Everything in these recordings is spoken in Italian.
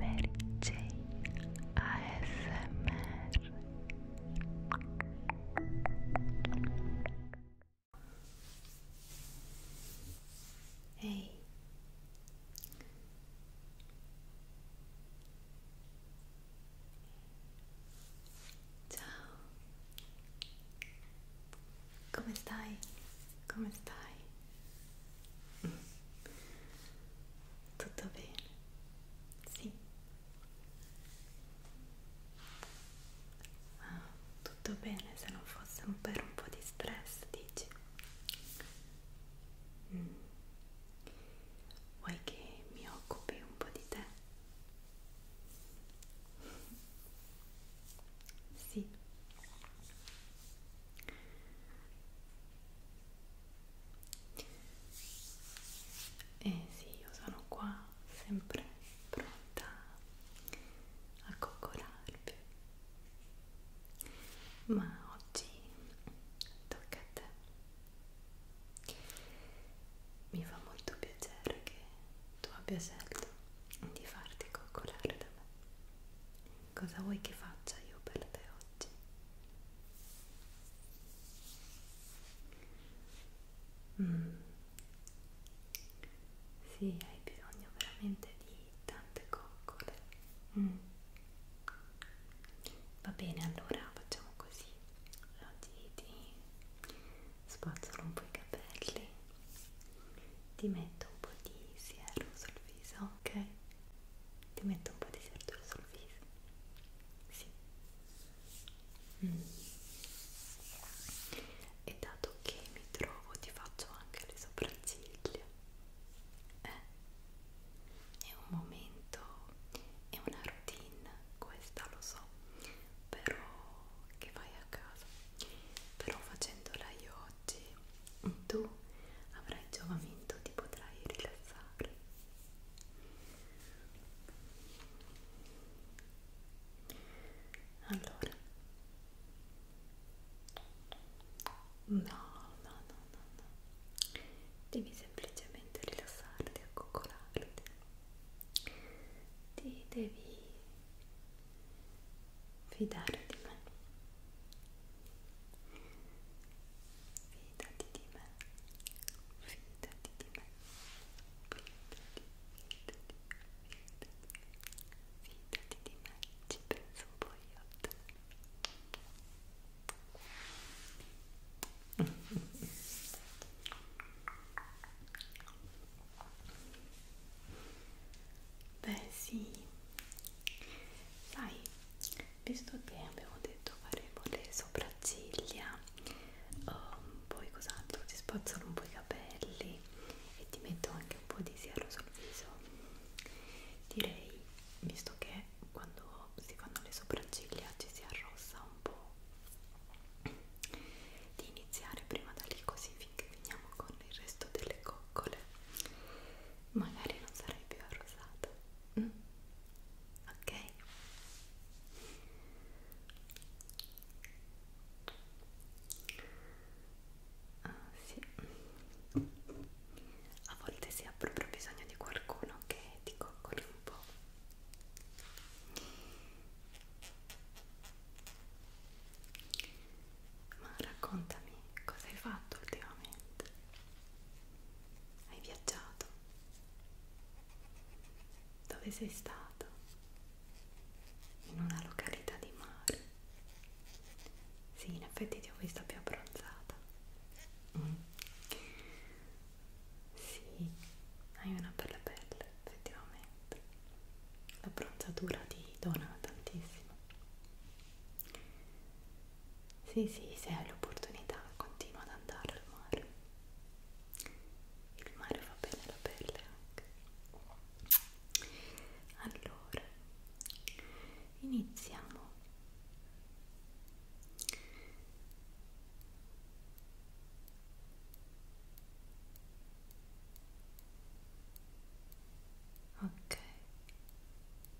Mary Jane ASMR Ehi hey. Ciao Come stai? Come stai? Tutto bene? Sì. Ah, tutto bene se non fosse un per un po' di stress, dici? Mm. Vuoi che mi occupi un po' di te? Sì. E sì, io sono qua sempre pronta a coccolarvi. Ma oggi tocca a te. Mi fa molto piacere che tu abbia scelto di farti coccolare da me cosa vuoi che faccia io per te oggi? Mm. Sì, hai bisogno veramente di tante coccole. Mm. Va bene, allora facciamo così. Oggi ti spazzolo un po' i capelli, ti metto un po' di siero sul viso, ok? Ti metto un po' di sardura certo sul viso. Sì. Mm. E dato che mi trovo ti faccio anche le sopracciglia. Eh? È un momento, è una routine, questa lo so, però che vai a casa. Però facendola io oggi tu avrai giovamento, ti potrai rilassare. Allora, no, no, no, no, no. devi semplicemente rilassarti, accoccolarti, ti devi fidare di me fidati di me fidati di me fidati, fidati, fidati fidati di me ci penso un po' io a te Beh sì, sai visto che abbiamo detto faremo le sopracciglia um, poi cos'altro ti spazzolo un po' i capelli e ti metto anche un po' di siero sul viso direi visto che quando si fanno le sopracciglia ci si arrossa un po' di iniziare prima da lì così finché finiamo con il resto delle coccole magari non sarai più arrosato mm? ok ah, sì. a volte si ha proprio bisogno di qualcuno che ti coccoli un po' Ma raccontami cosa hai fatto ultimamente? Hai viaggiato? Dove sei stato? In una località di mare? Sì, in effetti ti ho vista più abbronzata. Mm. Sì, hai una bella pelle, effettivamente. L'abbronzatura ti dona tantissimo. Sì, sì, se hai l'opportunità continua ad andare al mare. Il mare fa bene alla pelle anche. Allora, iniziamo. Ok,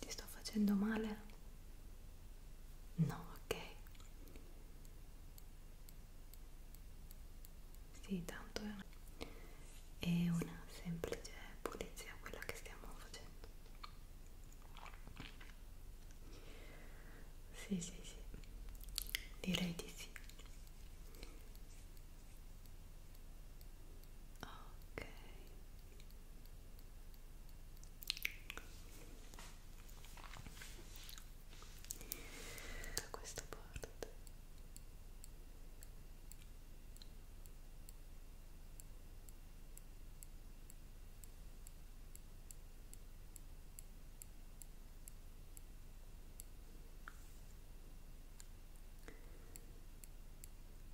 Ti sto facendo male? No, ok. Sì, tanto è una, è una semplice pulizia quella che stiamo facendo. Sì, sì, sì. Direi di sì. Ok da questa parte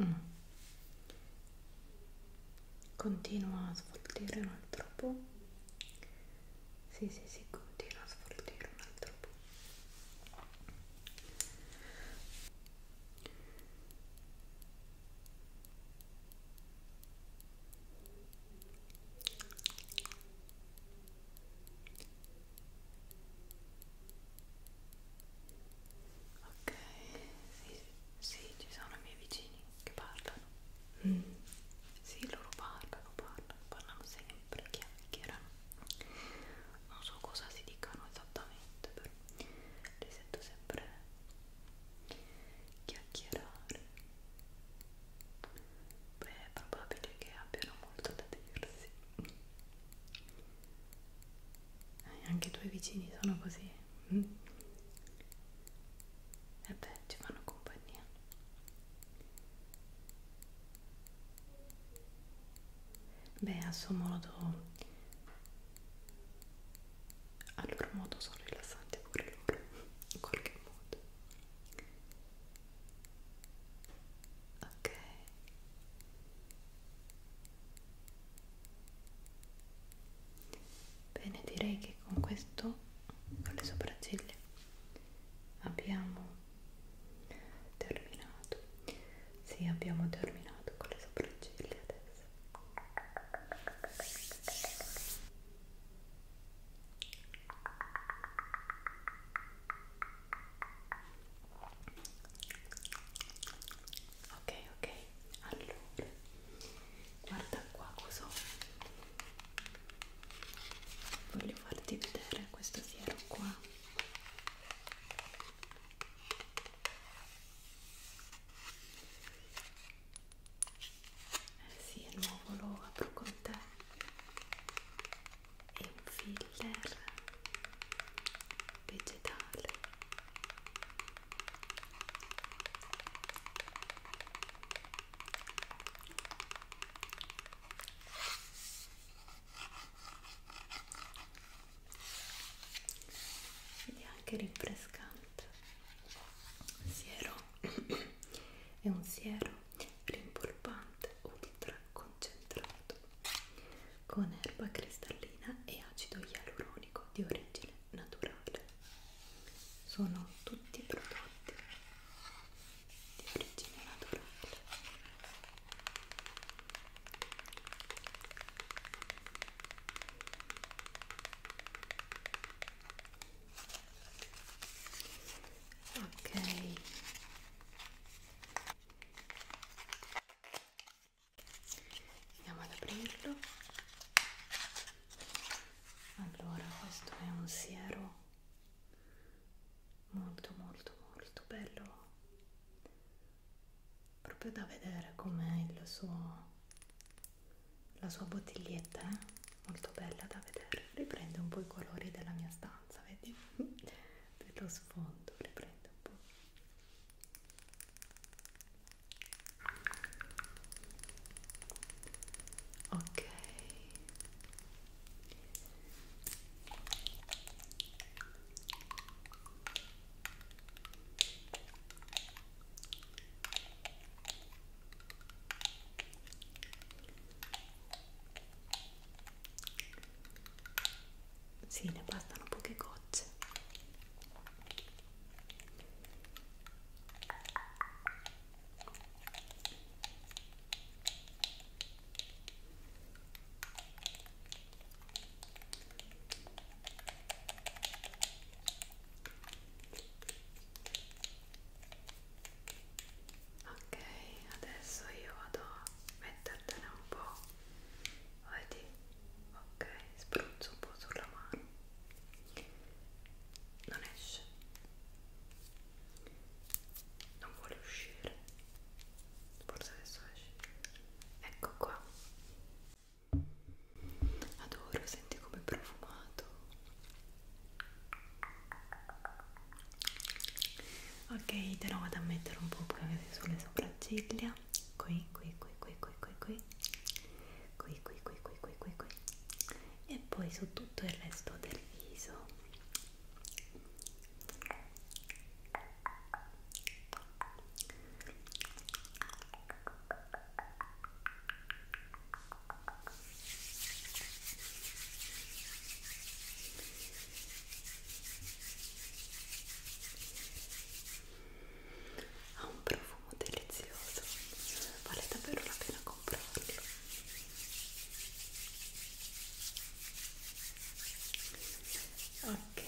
Mm. Continua a sfoltire un altro po'. Sì, sì, sì, continua a sfoltire un altro po'. Ok, sì, sì, ci sono i miei vicini che parlano. Mm. Sì, loro parlano, parlano, parlano sempre, chiacchierano. Non so cosa si dicano esattamente, però li sento sempre chiacchierare. Beh, è probabile che abbiano molto da dirsi eh, anche i tuoi vicini sono così mm. e beh ci fanno compagnia beh a suo modo al loro modo sono rilassanti pure loro in qualche modo ok bene direi che con questo con le sopracciglia abbiamo terminato sì abbiamo terminato con le sopracciglia adesso ok ok allora guarda qua cosa voglio farti vedere questo siero qua eh sì è nuovo lo apro con te e un filler vegetale ed è anche rinfrescante siero è un siero rimpolpante ultra concentrato con erba cristallina e acido ialuronico di origine naturale. Sono tutti prodotti di origine naturale. Ok, andiamo ad aprirlo allora questo è un siero molto molto molto bello proprio da vedere com'è il suo la sua bottiglietta eh? molto bella da vedere riprende un po' i colori della mia stanza vedi per lo sfondo le prendo un po' ok sì, ne bastano poche gocce ok adesso io vado a mettertene un po' vedi ok spruzzo un po' sulla mano non esce non vuole uscire forse adesso esce ecco qua adoro senti come profumato ok te lo vado a mettere un po' qui sulle sopracciglia qui qui qui qui qui qui qui qui qui qui qui qui qui qui e poi su tutto il resto del viso ha un profumo delizioso vale davvero la pena comprarlo ok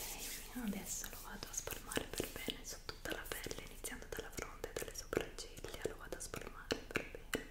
adesso lo vado a spalmare per bene su tutta la pelle iniziando dalla fronte e dalle sopracciglia lo vado a spalmare per bene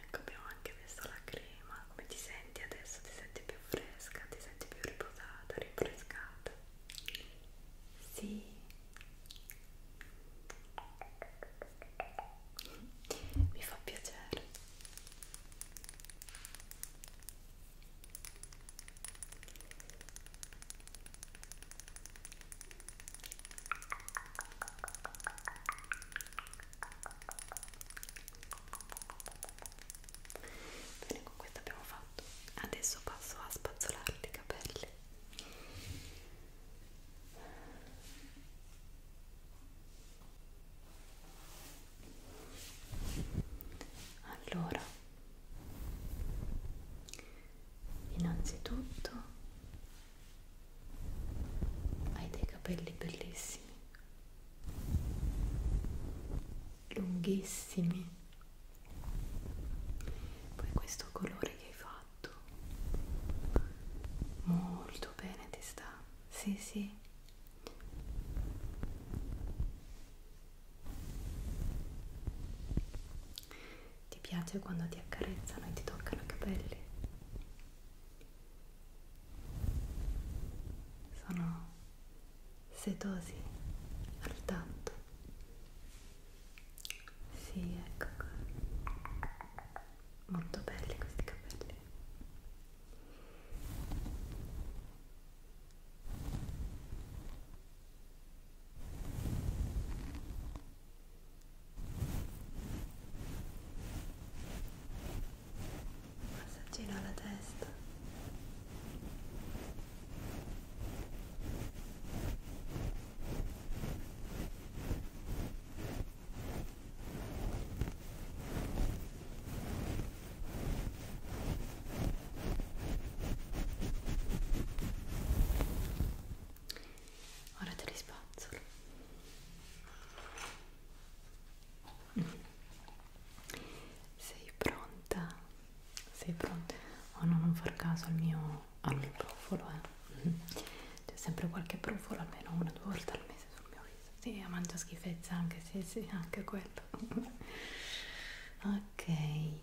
ecco abbiamo anche messo la crema come ti senti adesso? ti senti più fresca? ti senti più riposata? rinfrescata? sì mi fa piacere Bene, con questo abbiamo fatto. Adesso passo a spazzolarti i capelli. Allora, innanzitutto hai dei capelli bellissimi lunghissimi poi questo colore che hai fatto molto bene ti sta sì sì ti piace quando ti accarezzano e ti toccano i capelli? Sono setosi al tatto. Sì, ecco qua. Molto belli questi capelli. Passaggino alla testa ora te li spazzolo sei pronta? sei pronta? oh no, non far caso al mio, al mio brufolo eh. Mm-hmm. c'è sempre qualche brufolo almeno una o due volte al mese sul mio viso sì, mangio schifezza anche, sì, sì, anche quello ok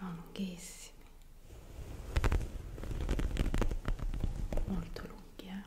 Oh, lunghissimi molto lunghi eh?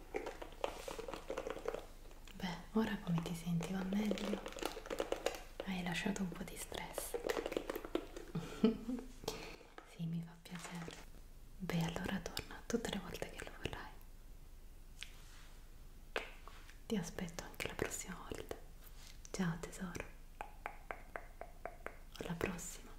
Beh, ora come ti senti? Va meglio? Hai lasciato un po' di stress. sì, mi fa piacere. Beh, allora torna tutte le volte che lo vorrai. Ti aspetto anche la prossima volta. Ciao tesoro. Alla prossima.